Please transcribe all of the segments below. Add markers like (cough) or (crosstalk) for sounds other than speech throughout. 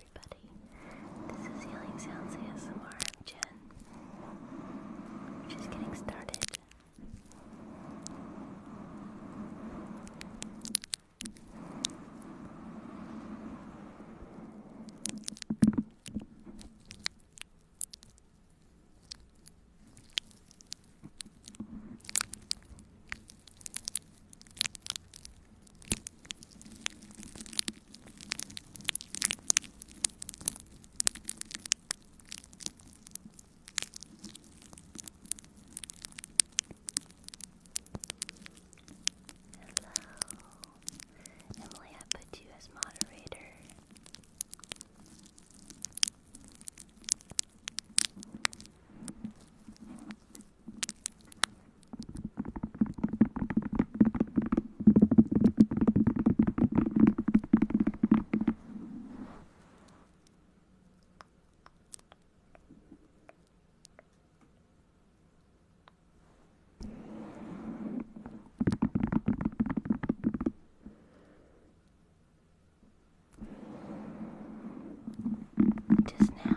everybody. This is Healing Sounds ASMR. I'm Jen. We're just getting started. Hello, Emily. I put you as moderator. Just now,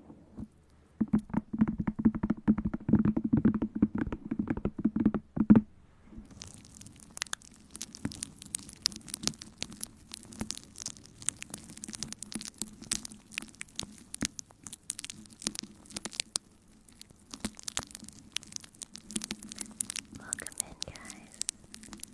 Welcome in, guys.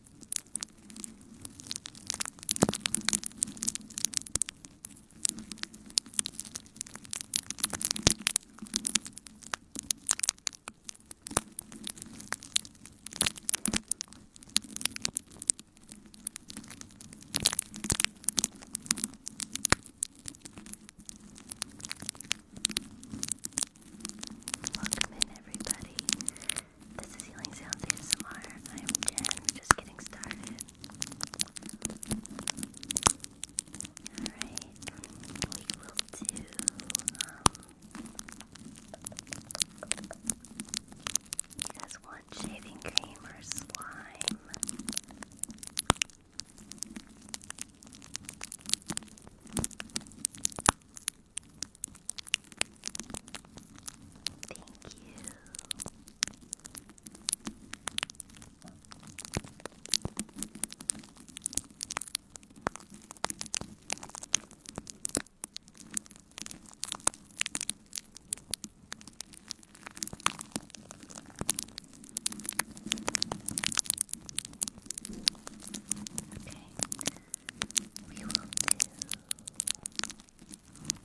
Welcome in, everybody. This is Healing Sounds ASMR. I'm Jen, just getting started. Alright, we will do, You um, guys want shaving cream or slime? Thank you. Okay. We will do and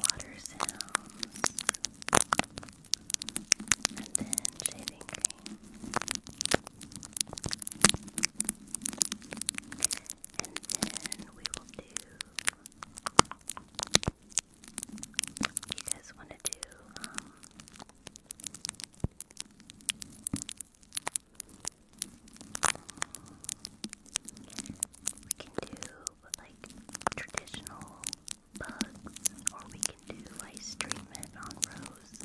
water sounds, and then shaving cream. And then we will do you guys want to do, um, we can do like traditional bugs, or we can do ice treatment on rose.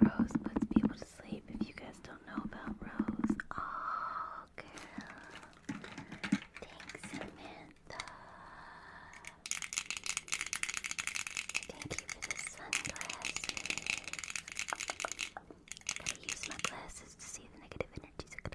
Rose puts people to sleep if you guys don't know about Rose. Oh, girl. Thanks, Samantha. Thank you for the sunglasses. got use my glasses to see the negative energies.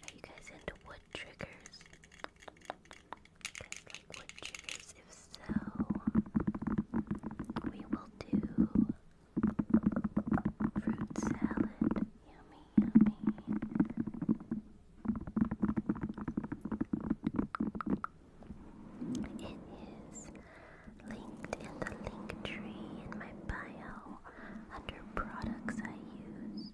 Are you guys into wood triggers? You guys like wood triggers? If so, we will do fruit salad. Yummy, yummy. It is linked in the link tree in my bio under products I use.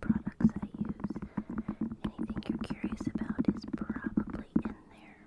Products I use. Anything you're curious about is probably in there.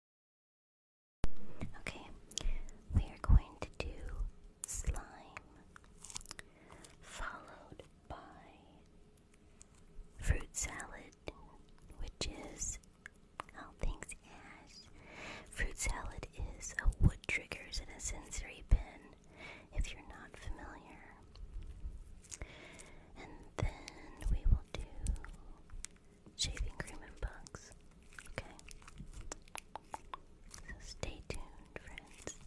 Okay, we are going to do slime followed by fruit salad, which is how things as fruit salad is a wood triggers and a sensory pin if you're not familiar. And then we will do shaving cream and bugs. Okay. So stay tuned, friends.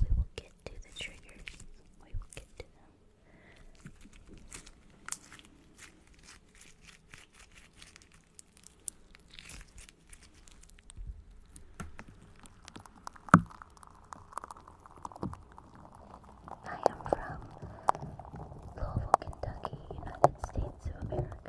We will get to the triggers. We will get to them. I am from Louisville, Kentucky, United States of America.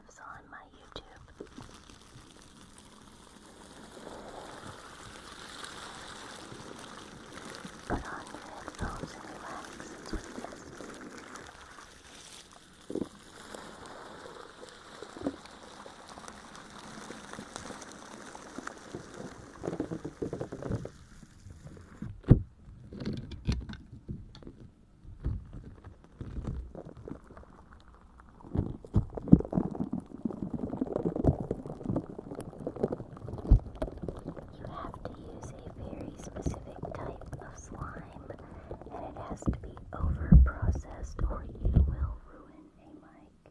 lives on my YouTube. Put on your headphones and relax, that's what it is. Hello, you have to use a very specific type of slime, and it has to be over or you will ruin a mic.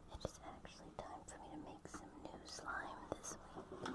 It is actually time for me to make some new slime this week.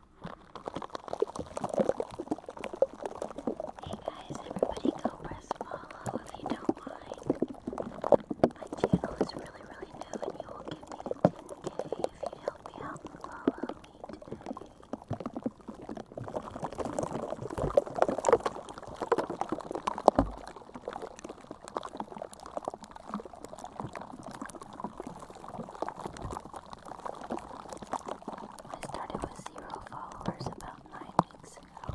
Hey guys, everybody go press follow if you don't mind. My channel is really, really new and you will get me to if you help me out I started with zero followers about nine weeks ago.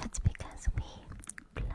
That's because we plug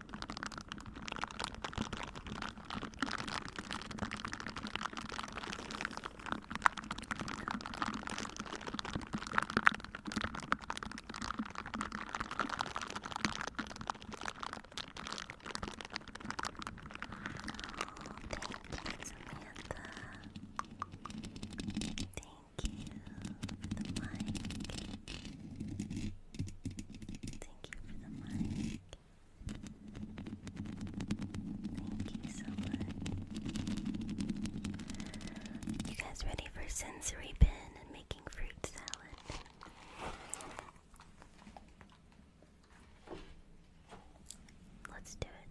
Thank you, Samantha. Thank you for the mic. Thank you for the mic. Thank you so much. You guys ready for sensory bin and making fruit salad? Let's do it.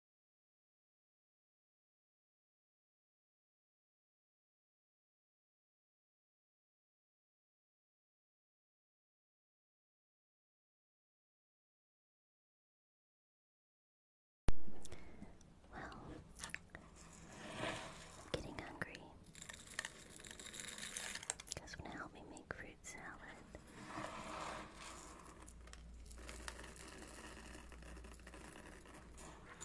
Well, getting hungry. You guys want to help me make fruit salad?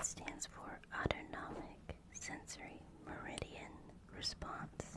stands for autonomic sensory meridian response.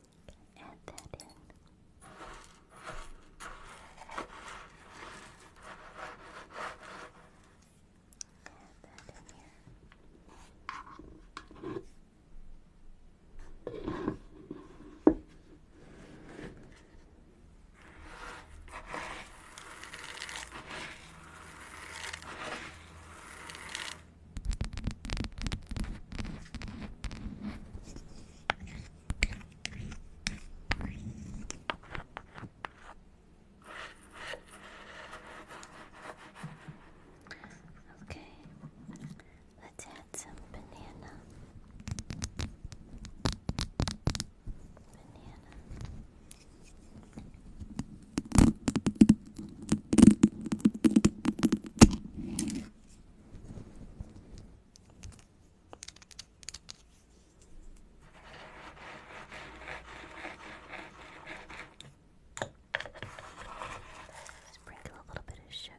add that in. Add that in here. Okay, let's add some banana. Banana. Sprinkle a little bit of sugar.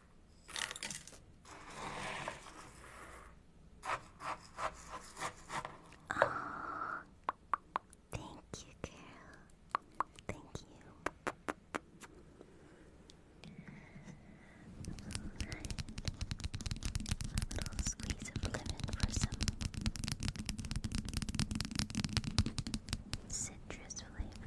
Oh, thank you, girl. Thank you. A little squeeze of lemon for some citrus flavor.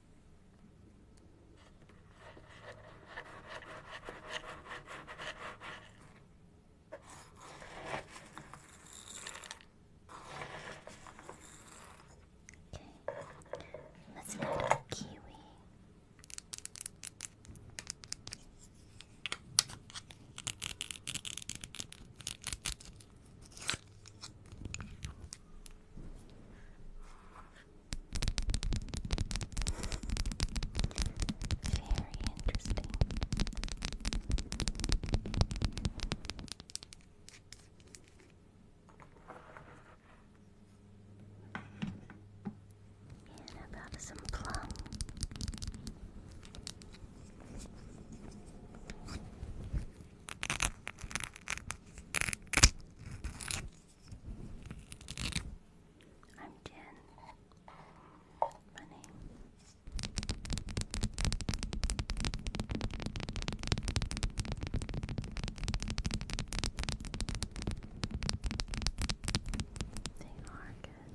let's look at a kiwi. Very interesting. And about some plum. I'm Jen. My They are good.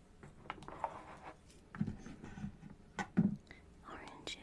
oranges.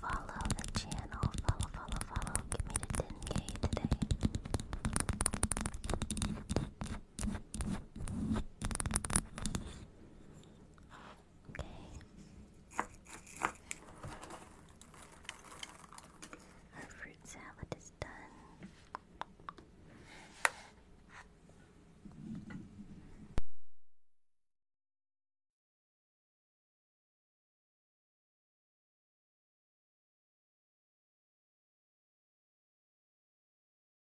Follow the channel, follow, follow, follow. Get me to 10 today. Okay. Our fruit salad is done.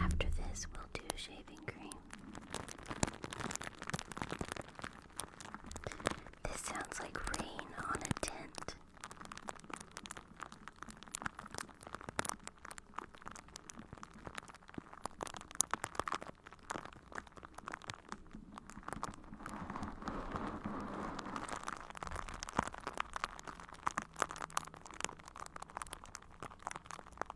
After this, we'll shaving cream. This sounds like rain on a tent.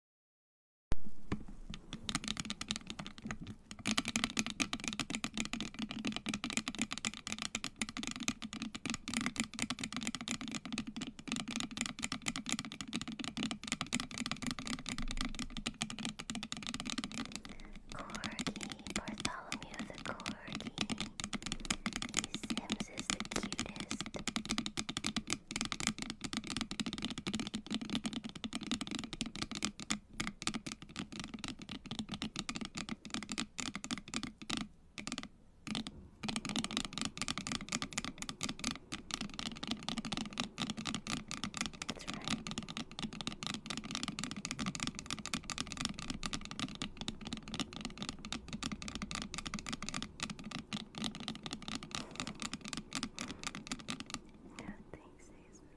Corgi, Bartholomew the Corgi. Sims is the cutest. That's right. No, thanks, Hazel.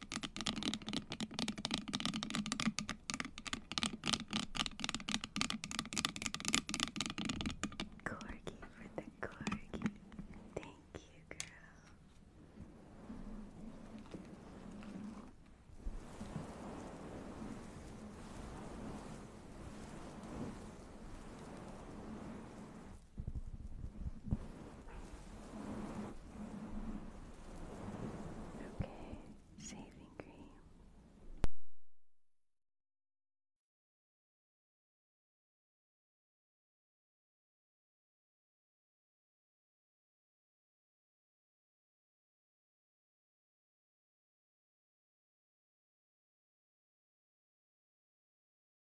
Corgi for the corgi. Thank you, girl. Okay, saving cream.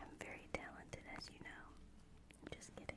I'm very talented, as you know. I'm just kidding.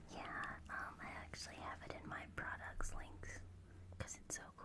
Yeah, um, I actually have it in my products links because it's so cool.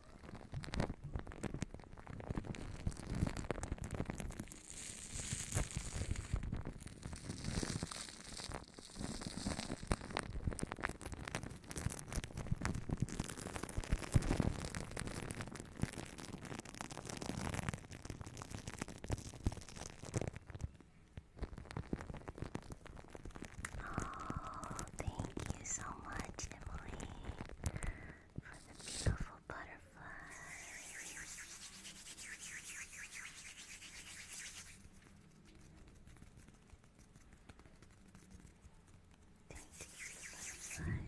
Oh, thank you so much, for the beautiful butterfly. Thank you, butterfly. Thank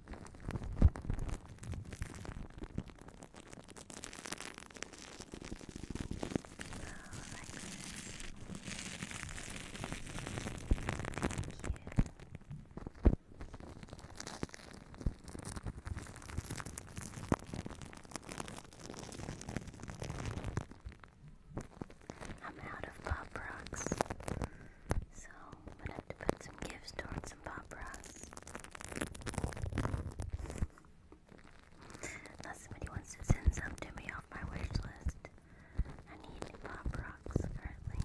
I'm out of pop rocks, so I'm gonna have to put some gifts towards and Paparas. Now somebody wants to send some to me off my wish list. I need pop rocks currently.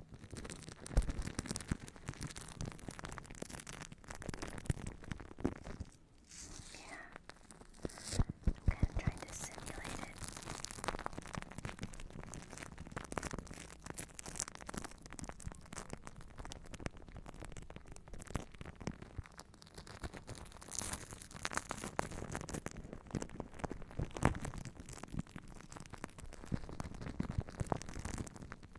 Yeah. I'm kind of trying to simulate it. Okay.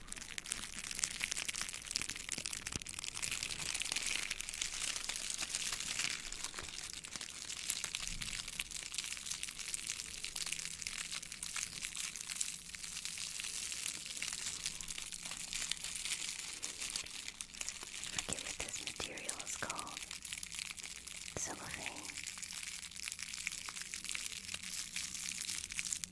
forget what this material is called. Cellophane.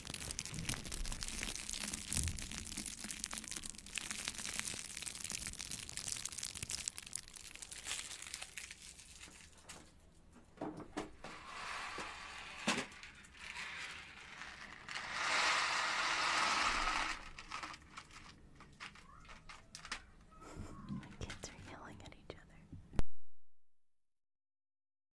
My kids are yelling at each other.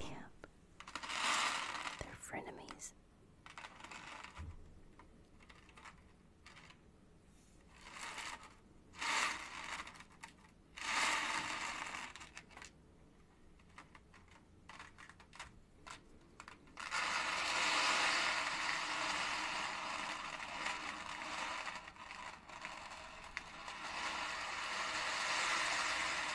Yep. They're frenemies.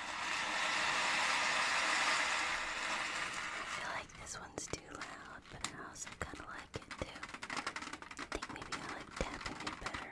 I feel like this one's too loud, but I also kind of like it too. I think maybe I like tapping it better.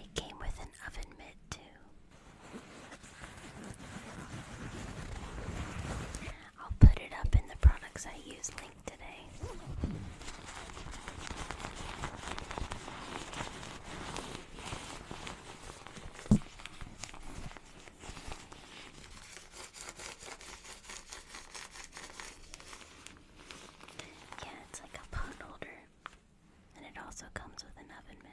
It came with an oven mitt, too. I'll put it up in the products I use link today. Yeah, it's like a pot holder, and it also comes with an oven mitt.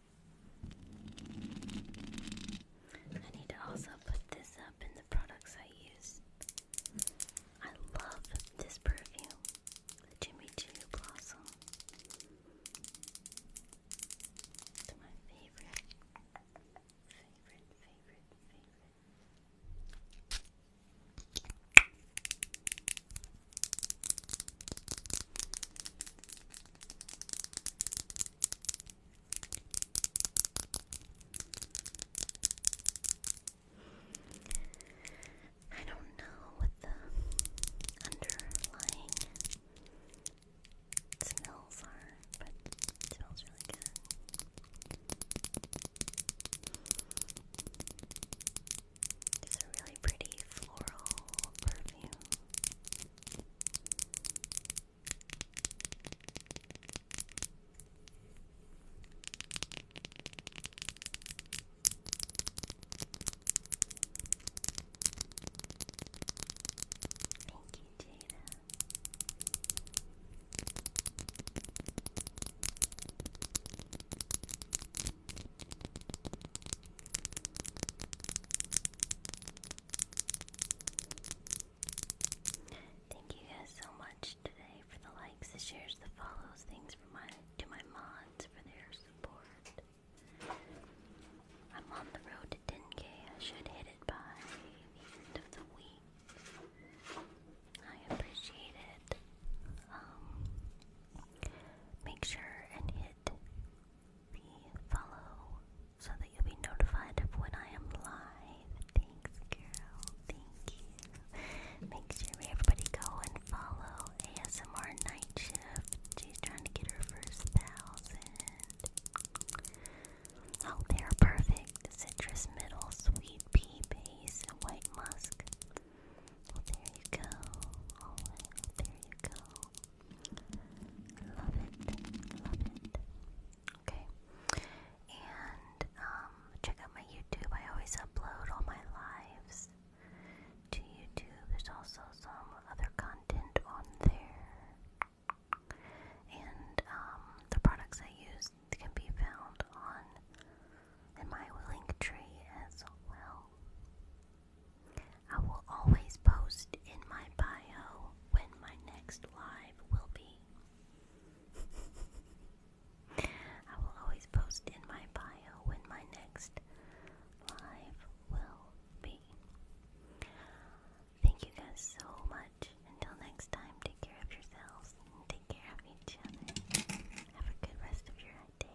I need to also put this up in the products I use. I love this perfume, the Jimmy Choo Blossom. It's my favorite, favorite, favorite, favorite. I don't know what the underlying smells are, but it smells really good. It's a really pretty floral perfume. Thank you, Jada. Thank you guys so much today for the likes, the shares, the follows. things for my to my mods for their support. I'm on the road to 10k. I should hit it by the end of the week. I appreciate it. Um, make sure and hit the follow so that you'll be notified of when I am live. Thanks, girl. Thank you. Make sure everybody go and follow ASMR Night She's trying to get her first thousand. Oh, they're perfect. Citrus middle, sweet pea base, white musk. Well, there you go. there you go. Love it. Love it. Okay. And um, check out my YouTube. I always upload all my lives to YouTube. There's also some other content on there. And um, the products I use can be found on in my link tree as well. I will always post in my bio when my next live will be. (laughs) I will always post in my bio when my next live will be. Thank you guys so much. Until next time, take care of yourselves and take care of each other. Have a good rest of your day.